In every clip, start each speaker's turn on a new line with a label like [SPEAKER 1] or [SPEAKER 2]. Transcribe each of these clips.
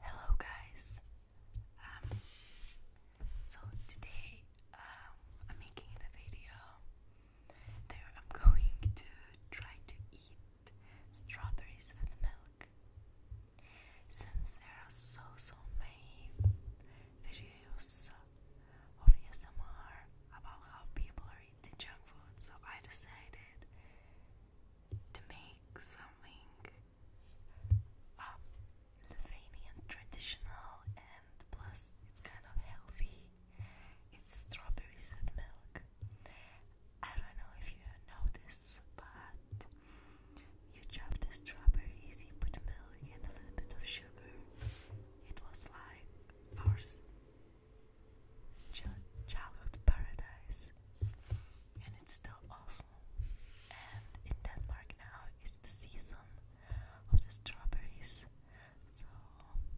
[SPEAKER 1] Hello, guys. Um, so today um, I'm making a video I'm going to try to eat strawberries with milk. Since there are so so many videos of ASMR about how people are eating junk food, so I decided to make something um, traditional and plus it's kind of healthy. It's strawberries and milk. I don't know if you know this, but you dropped the strawberries, you put milk and a little bit of sugar. It was like our childhood paradise. And it's still awesome. And in Denmark now is the season of the strawberries. So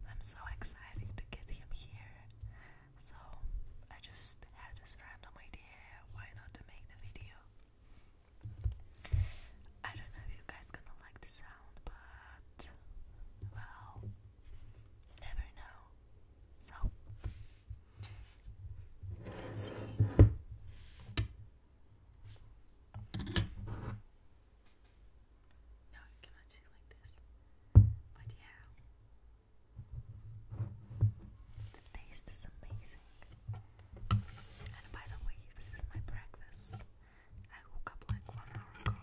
[SPEAKER 1] I'm so excited to get him here. So I just had this random idea why not to make the video. I don't know if you guys gonna like the sound, but well, never know. So let's see. No, you cannot see like this. But yeah, the taste is amazing amazing. And by the way, this is my breakfast. I woke up like one hour ago.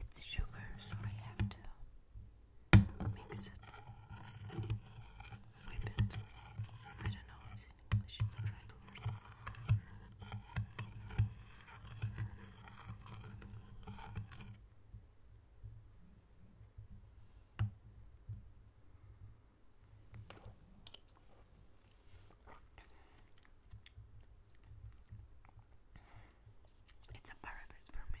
[SPEAKER 1] It's sugar, so I have to mix it, whip it. I don't know what's in English, it's a paradise for me.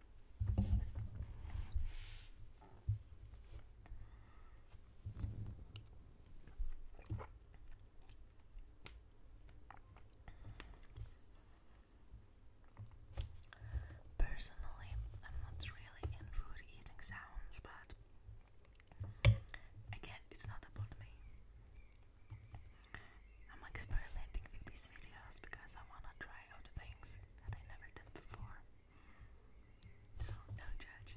[SPEAKER 1] Personally, I'm not really in eating sounds, but again, it's not about me. I'm experimenting with these videos because I wanna try out things that I never did before. So, don't judge.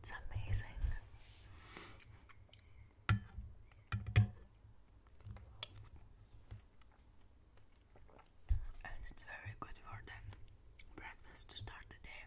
[SPEAKER 1] It's amazing. And it's very good for them breakfast to start the day.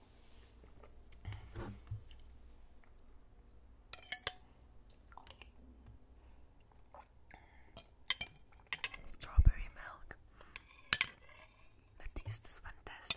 [SPEAKER 1] Strawberry milk. The taste is fantastic.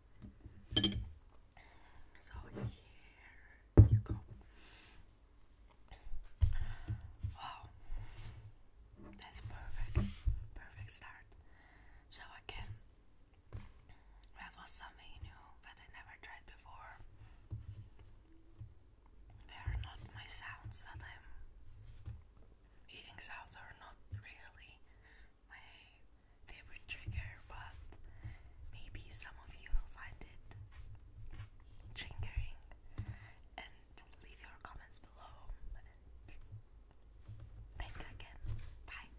[SPEAKER 1] So here you go. Wow, that's perfect, perfect start. So again, that was something new that I never tried before. They are not my sounds that I'm eating sounds are not really my favorite trigger, but maybe some of you will find it triggering. And leave your comments below. thank again. Bye.